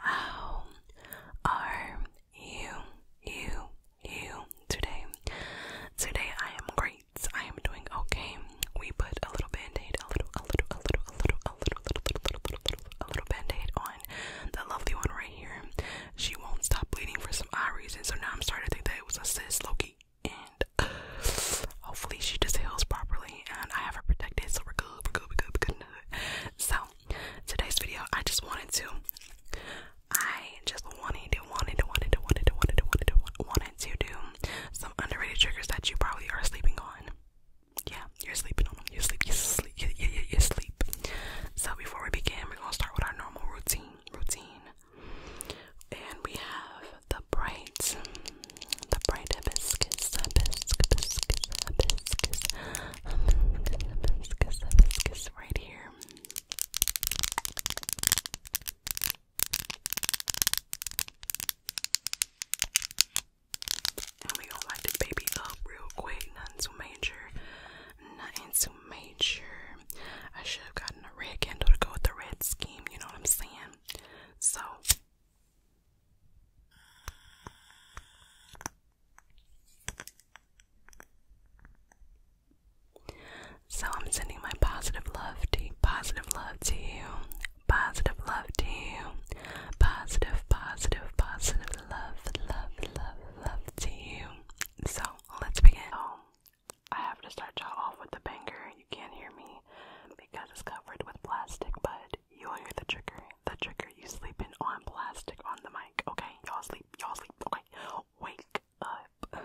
How are you, you, you today? Today I am great. I am doing okay. We put a little band-aid, a little, a little, a little, a little, a little, a little, a little, a little, a little band-aid on the lovely one right here. She won't stop bleeding for some odd reason, so now I'm starting to think that it was a sis Loki. And hopefully she just heals properly, and I have her protected, so we're good, we're good, we're good, we're good. So today's video, I just wanted to, I just wanted to, wanted to, wanted to, wanted to, wanted to, wanted to, wanted to do some underrated triggers that you probably are sleeping on. Yeah, you're sleeping on them. You sleep, you sleep, you, you, you, sleep. So before we begin, we're gonna start with our normal routine, routine, and we have the bright the bright hibiscus, right here. And we gonna light this baby up real quick, nothing too major, nothing too major. I should have gotten a red candle to go with the red scheme, you know what I'm saying? So so I'm sending my positive love to you, positive love to you, positive love to you, positive, positive, positive love, love, love, love to you. So let's begin. Oh, I have to start y'all off with the banger. You can't hear me because it's covered with plastic, but you'll hear the trigger the trigger you sleeping on plastic on the mic. Okay, y'all sleep, y'all sleep. Okay, wake up.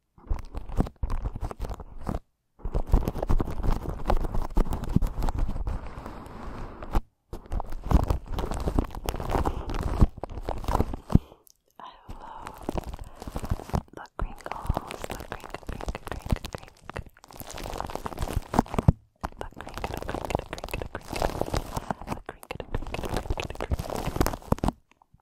I love the crinkles, the crink, crink, crink, crink. The crink, the crink, the crink, the crink. The crink, the crink, the crink, the crink.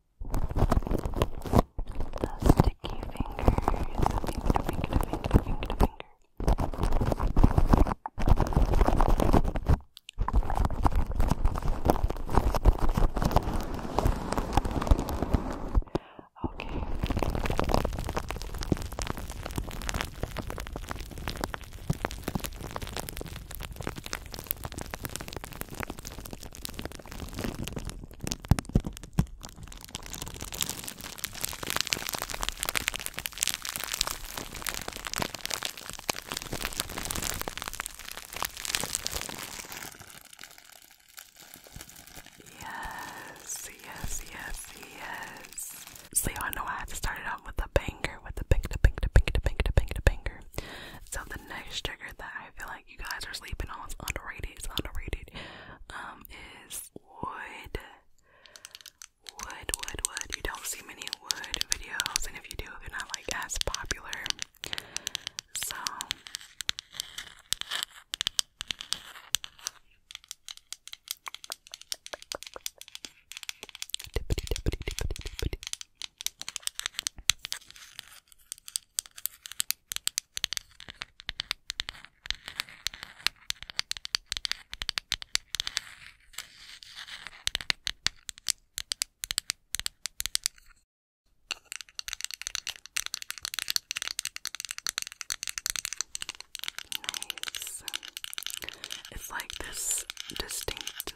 The sticky fingers. Finger, finger, finger, finger, finger. Okay. Yes, yes, yes, yes. So you know I had to start it out with a banger, with a banger, banger, banger, banger, banger, banger. So next trigger that I feel like you guys are sleeping on is underrated. It's underrated. Um, is wood. Wood, wood, wood. You don't see many wood videos, and if you do, they're not like as popular. So. Nice. It's like this distinct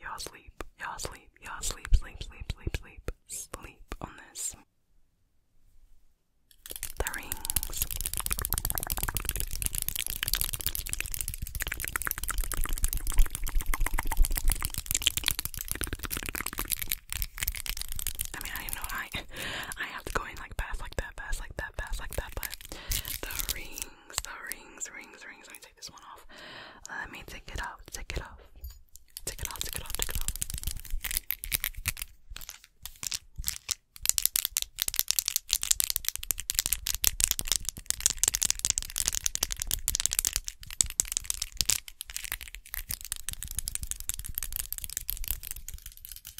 Y'all sleep, y'all sleep, y'all sleep, sleep, sleep, sleep, sleep, sleep on this. The rings. I mean, I know I I have to go in like fast like that, fast like that fast like that, but the rings, the rings, rings, rings. Let me take this one off. Let me take it off, take it off. Take it off, take it off, take it off.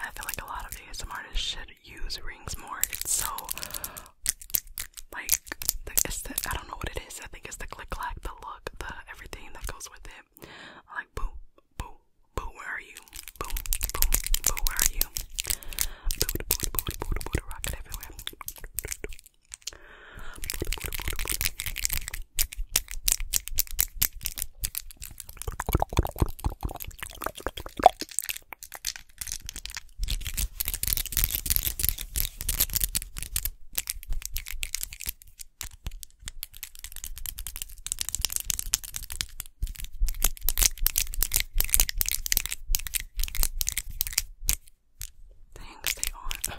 I feel like a lot of ASMR artists should use rings more. so like I don't know what it is. I think it's the click clack, the look, the everything that goes with it. like boom, boom, boo, where are you? Boom, boom, boo, where are you? Boo, boo, boo, boo, boo, boo, boo everywhere. Dang, stay on.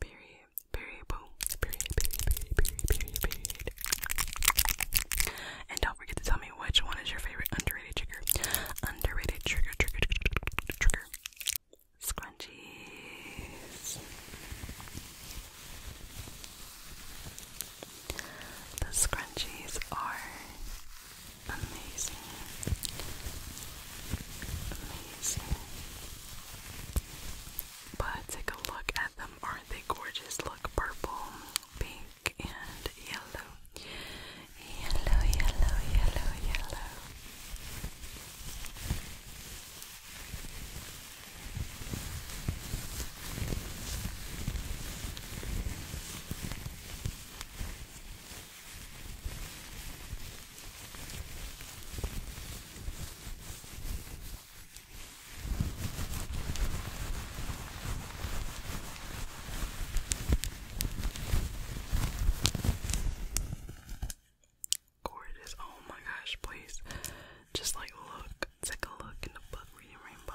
Period. Period. Boom. Period. Period. Period. Period. Period. Period. And don't forget to tell me which one is your favorite underrated trigger. Underrated trigger. Trigger. Trigger. Scrunchies. The scrunchies are amazing. Amazing. But take a look at them, are they gorgeous look purple, pink, and yellow. Yellow, yellow, yellow, yellow. Gorgeous. Oh my gosh, please. Just like look. Take a look in the book reading rainbow.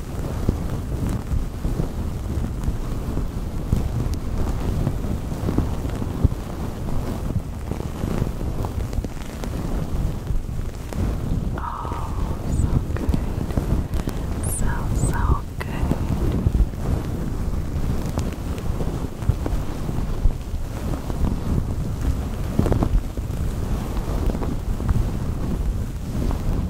Oh, so good. So, so good.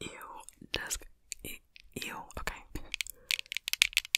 Ew, desk. Ew, okay.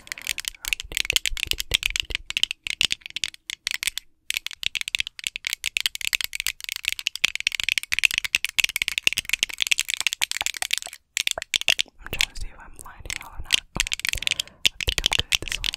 Read it, read it, read it. I'm trying to see if I'm lining out or not. Okay. I think I'm good this way.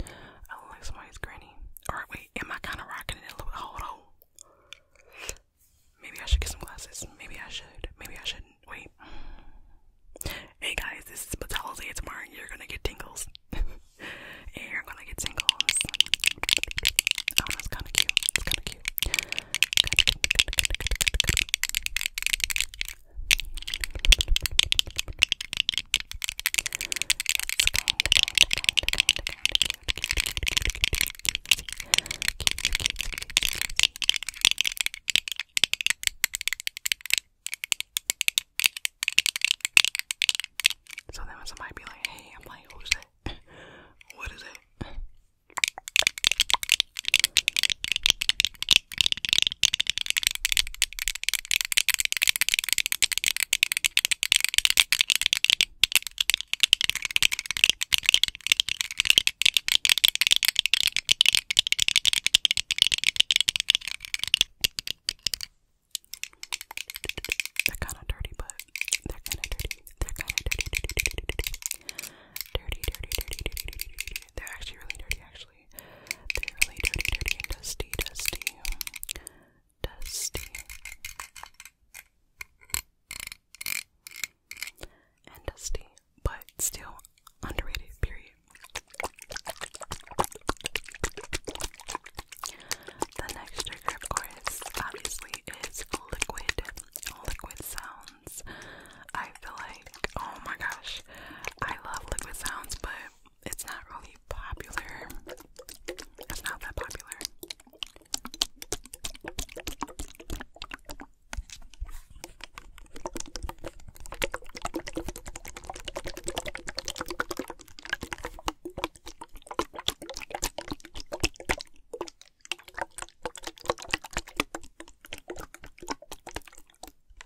I look like somebody's granny. Alright, wait, am I kind of rocking it a little bit? Hold on. Maybe I should get some glasses. Maybe I should. Maybe I shouldn't. Wait. Hey guys, this is Batala's tomorrow and you're gonna get tingles. you're gonna get tingles. Oh, that's kinda cute. It's kinda cute. So then when somebody be like, hey, I'm like, who's that? what is it? They're kind of dirty, but they're kind of dirty. They're kind of dirty, dirty, dirty, dirty, dirty, dirty, dirty, dirty, dirty, dirty, dirty. They're actually really dirty, actually really, dirty, dirty, dusty, dusty, dusty. And dusty, but still underrated, period. The next trigger, of course, obviously is liquid, liquid sounds. I feel like, oh my gosh, I love liquid sounds, but it's not really popular. It's not that popular.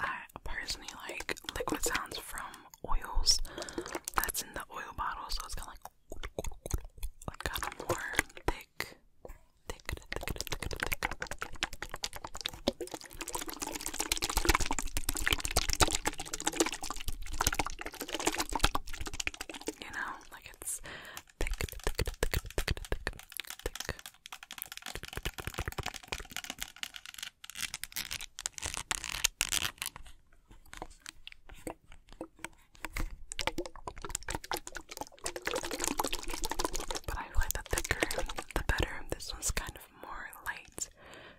I personally like liquid sounds from oils that's in the oil bottle, so it's kind of like, like kind more thick, thick, thick, thick, thick. You know, like it's thick, thick, thick, thick, thick, thick, thick. But I like the thicker, the better. This one's kind of more light.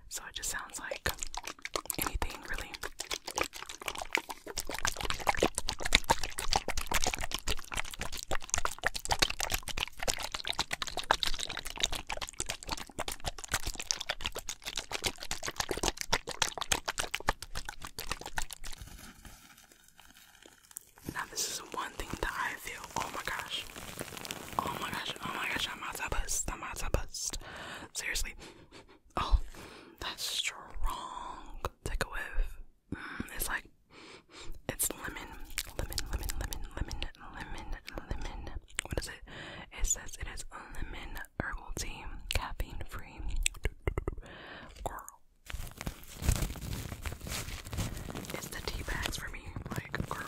So it just sounds like anything really. Now, this is one thing that I feel oh my gosh, Oh my gosh, oh my gosh, I'm about to bust, I'm about to bust. Seriously. Oh, that's strong. Take a whiff. Mm, it's like, it's lemon, lemon, lemon, lemon, lemon, lemon, lemon. What is it? It says it is lemon herbal tea, caffeine free. It's the tea bags for me, like, girl.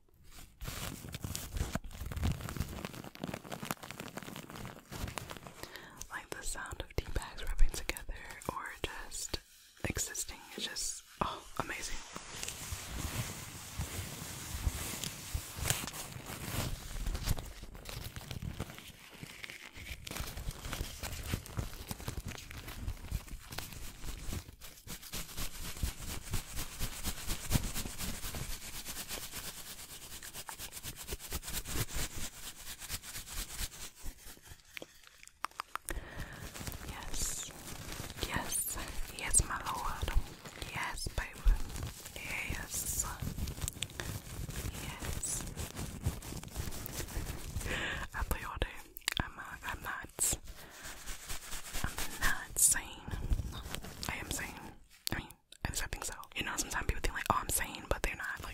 Like the sound of tea bags rubbing together or just existing is just oh amazing. Yes, yes, yes, my lord. Yes, baby. Yes, yes. I thought you I'm, I'm not I'm not sane. I am sane. I mean, at least I think so. You know, sometimes people think like, oh, I'm sane, but they're not. Like,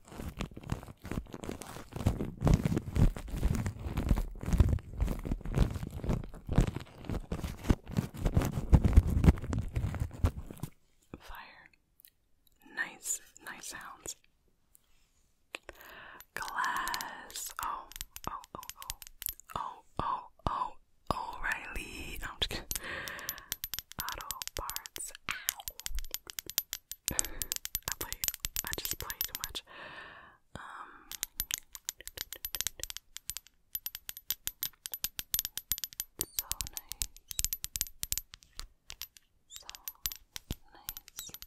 Fire. Nice, nice sounds. Glass. Oh, oh, oh, oh. Oh, oh, oh, O'Reilly. No, I'm just kidding. Auto parts. I play I just play too much. Um so nice. So nice. Nice.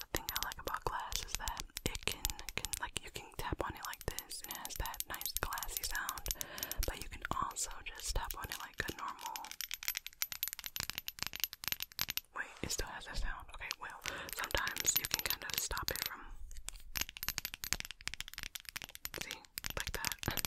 The thing I like about glass is that it can, can like you can tap on it like this and it has that nice glassy sound, but you can also just tap on it like a normal. Wait, it still has that sound. Okay, well, sometimes you can kind of stop it from. See, like that.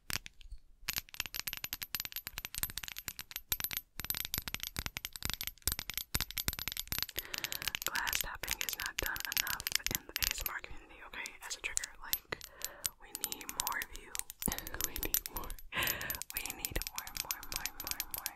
Glass tapping is not done enough in the ASMR community, okay? As a trigger, like, we need more of you. we need more. We need more, more, more, more, more.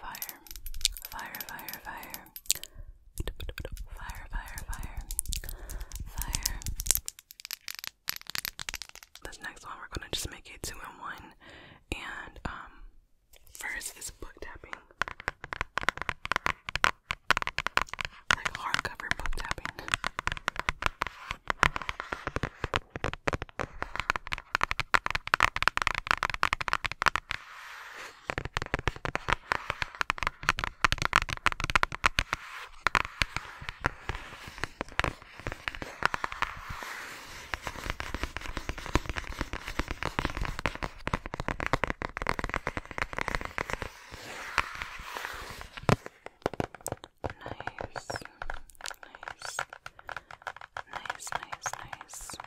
Fire, fire, fire, fire. Fire, fire, fire. Fire. This next one, we're gonna just make it two in one. And, um, first is book tapping. Like hardcover book tapping. Nice, nice, nice, nice, nice.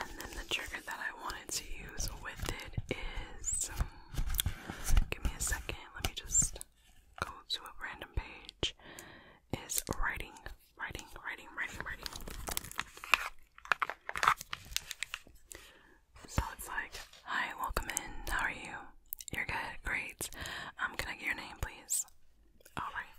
And then the trigger that I wanted to use with it is Give me a second, let me just go to a random page. Is writing, writing, writing, writing, writing. So it's like, hi, welcome in, how are you? You're good, great. Um, can I get your name, please? Alright.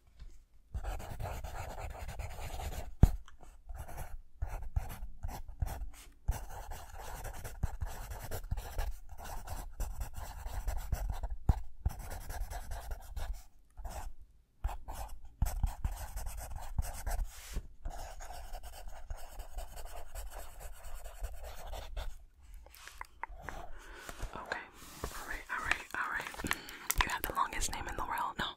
Okay, alright, alright, alright. You have the longest name in the world. No, now.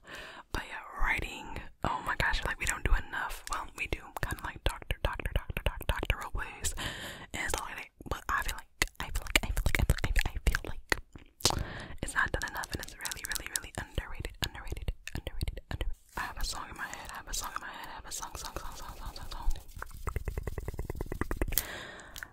But yeah, writing. Oh my gosh, like we don't do enough. Well, we do kind of like doctor, doctor, doctor, doctor, doctoral ways. And it's like, but I feel like, I feel like, I feel like, I feel like, I feel like it's not done enough, and it's really, really, really underrated, underrated, underrated, underrated. I have a song in my head. I have a song in my head. I have a song, song, song, song, song, song, song.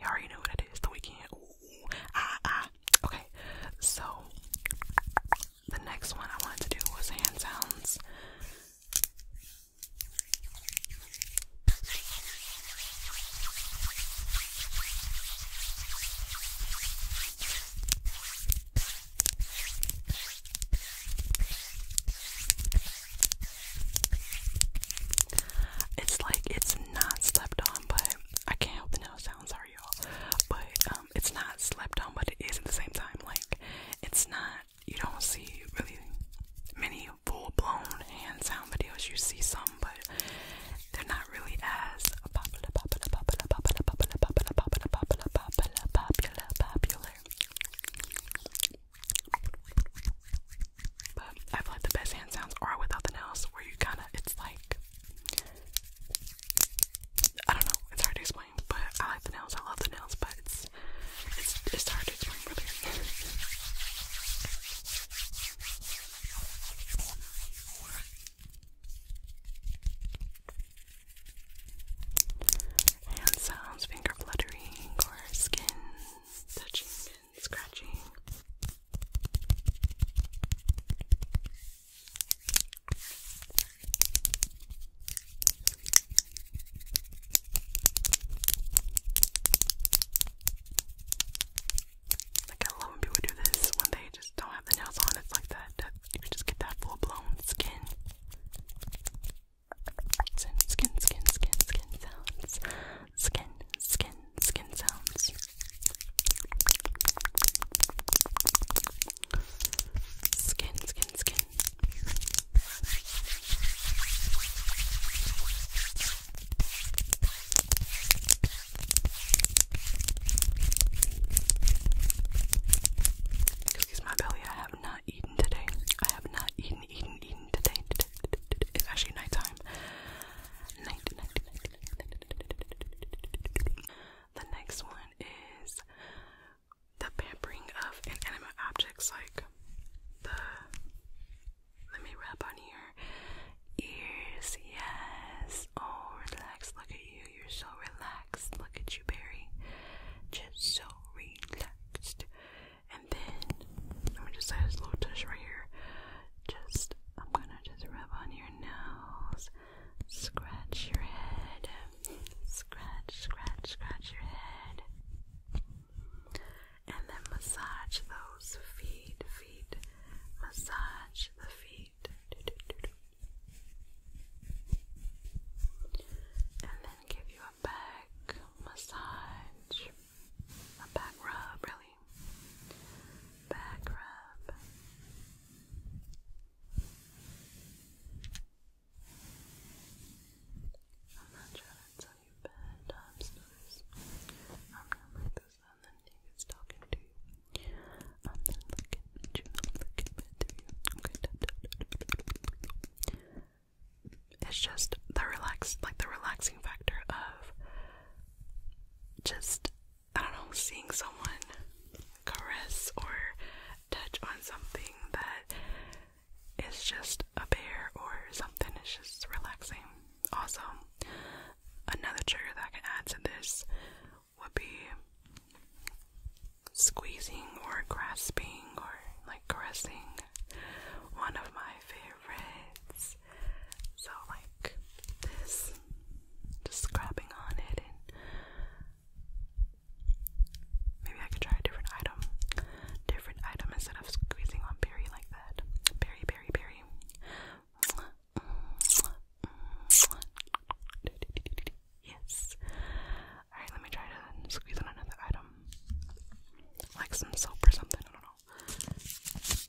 You already know what it is. The weekend. ah, ah. Okay, so the next one I wanted to do was hand sounds. It's like it's not slept on, but I can't help the nail sound, sorry y'all. But um it's not slept on, but it is at the same time. Like it's not you don't see really many full blown hand sound videos. You see some but they're not really as popular popular popular popular popular popular popular popular popular popular popular but I like the best hand sounds are without the nails, where you kind of, it's like, I don't know, it's hard to explain. But I like the nails, I love the nails, but it's, it's, it's hard to explain really. Hand sounds, finger fluttering, or skin touching and scratching. I love when people do this when they just don't have the nails on. It's like that. you just get that full blown skin. Skin, skin, skin, skin sounds skin, skin, skin sounds. Skin, skin, skin. Excuse my belly, I have not eaten today. I have not eaten, eaten, eaten today. today, today, today. It's actually nighttime. Night, night, night, night, night, the next one is the pampering of inanimate objects, like the let me wrap on here. Ears, yes. Oh, relax. Look at you. You're so relaxed. Look at you, Barry. Just so relaxed. And then let me just add this little touch right here just I'm gonna just rub on your nose, scratch your head, scratch, scratch, scratch your head, and then massage those feet, feet, massage the feet, and then give you a back massage, a back rub, really back rub. I'm not sure that's how you bend stories. I'm going like this and then David's talking to you. I'm looking at you, I'm looking right you. It's just the relax, like the relaxing factor of just I don't know, seeing someone caress or touch on something that is just a bear or something is just relaxing. Also, another trigger that I can add to this would be squeezing or grasping or like caressing. One of my favorites this. So, like this, just scrapping on it, and maybe I could try a different item. Different item instead of squeezing on berry like that. Berry, berry, berry. Yes. Alright, let me try to squeeze on another item. Like some soap or something, I don't know.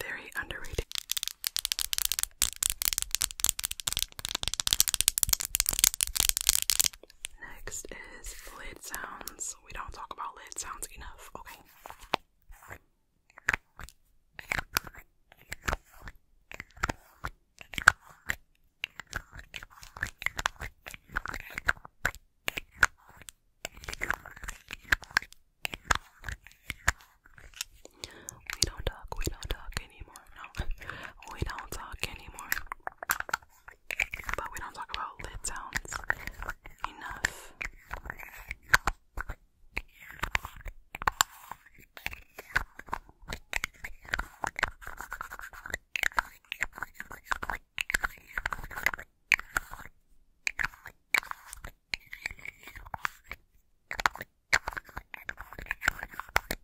Very underrated. Next is lid sounds. We don't talk about lid sounds enough, okay? We don't talk, we don't talk anymore. No, we don't talk anymore. But we don't talk about lid sounds enough.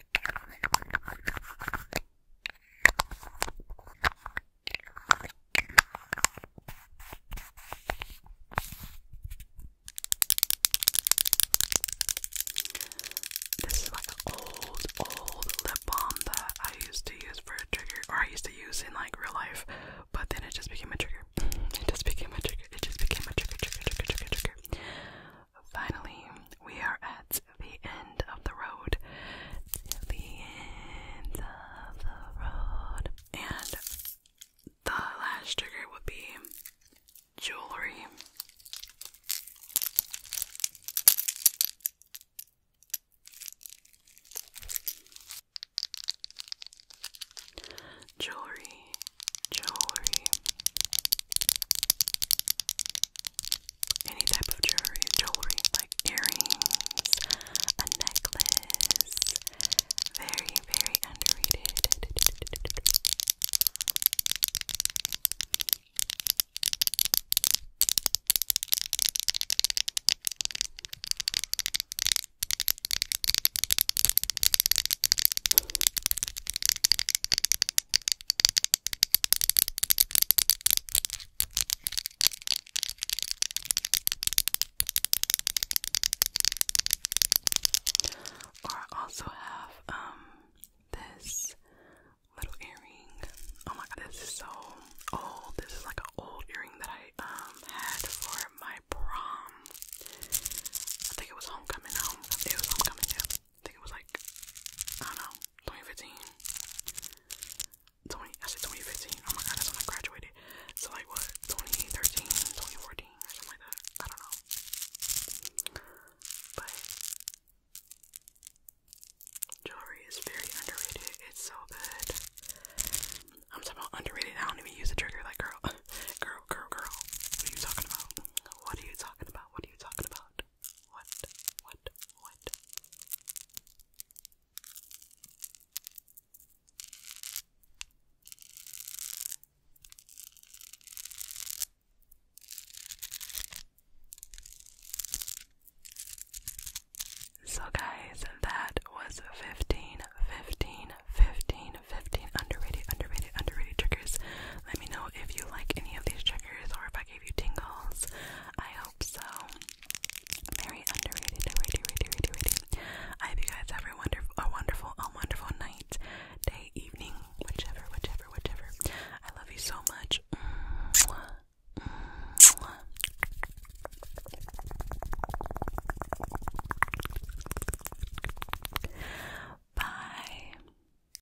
This is like an old, old lip balm that I used to use for a trigger, or I used to use in like real life, but then it just became a trigger. It just became a trigger. It just became a trigger, trigger, trigger, trigger, trigger. Finally, we are at the end of the road. The end of the road. And the last trigger would be jewelry. Jewelry, jewelry, any type of jewelry, jewelry like earrings, a necklace. Very, very underrated. Or I also have um this little earring. Oh my god, this is so old. This is like an old earring that I um had for my prom. I think it was homecoming. Home. It was homecoming think it was like, I don't know, 2015. 20, I said 2015. Oh my god, that's when I graduated. So, like, what, 2013, 2014, or something like that? I don't know. But jewelry is very underrated. It's so good. I'm talking about underrated. I don't even use the trigger. Like, girl, girl, girl, girl. What are you talking about? What are you talking about? What are you talking about? what, what, what? So guys, that was 15, underrated, underrated, underrated triggers. Let me know if you like any of these triggers or if I can I hope so. Very underrated, I hope you guys have a wonderful, a wonderful, a wonderful night, day, evening, whichever, whichever, whichever. I love you so much. Bye.